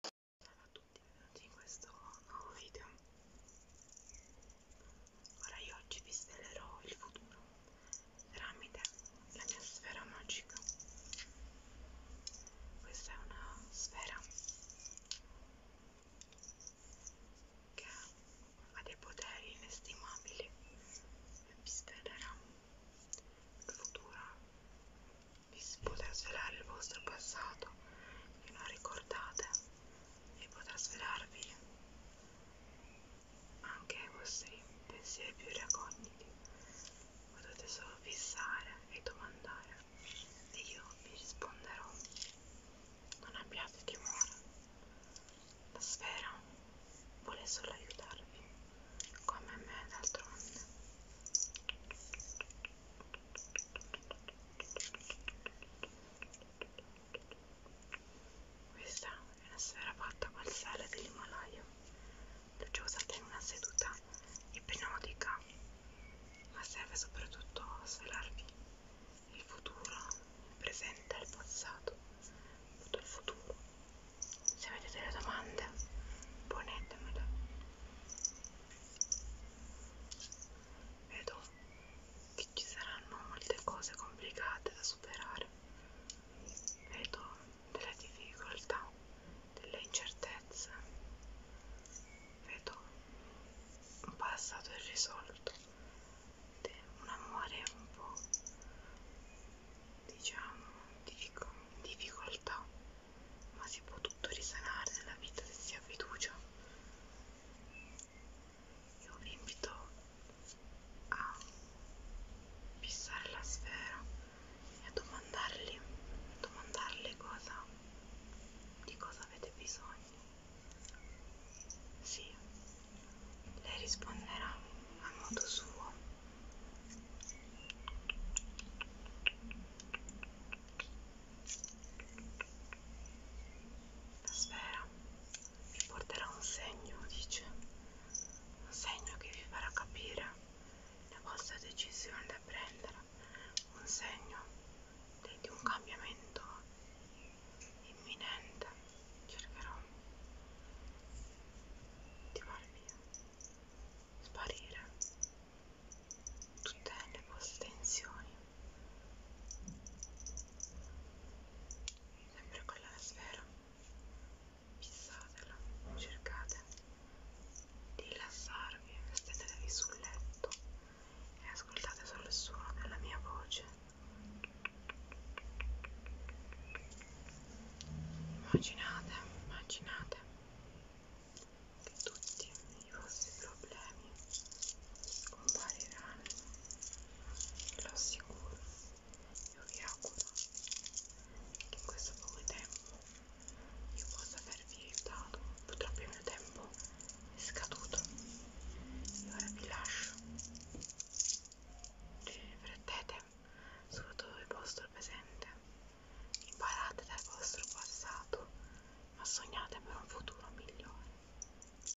Salve a tutti benvenuti in questo nuovo video Ora io oggi vi svelerò il futuro tramite la mia sfera magica Questa è una sfera che ha dei poteri inestimabili e vi svelerà il futuro vi si potrà svelare il vostro passato che non ricordate e potrà svelarvi anche i vostri pensieri più recogniti potete solo fissare e domandare e io vi risponderò non abbiate timore la sfera vuole solo aiutarvi, come me d'altronde. Questa è una sfera fatta col sale dell'Himalaya, l'ho usata in una seduta ipnotica, ma serve soprattutto a svelarvi il futuro, il presente e il passato, tutto il futuro. Se avete delle domande, ponetemele. Vedo che ci saranno molte cose complicate da superare. Vedo delle difficoltà, delle incertezze. Vedo un passato irrisolto veramente un amore un po' diciamo in difficoltà ma si può tutto risanare nella vita se si ha fiducia io vi invito a fissare la sfera e a domandargli domandarle cosa di cosa avete bisogno? Sì, lei risponderà a modo suo. La sfera vi porterà un segno, dice, un segno che vi farà capire la vostra decisione da prendere un segno di un cambiamento imminente cercherò di farvi sparire tutte le vostre tensioni sempre quella sfera fissatela, cercate di rilassarvi, vestitevi sul letto e ascoltate solo il suono della mia voce. Immaginate, immaginate che tutti i vostri problemi scompariranno, ve lo assicuro io vi auguro che in questo poco tempo io possa avervi aiutato purtroppo il mio tempo è scaduto e ora vi lascio riflettete su tutto il vostro presente imparate dal vostro passato ma sognate per un futuro migliore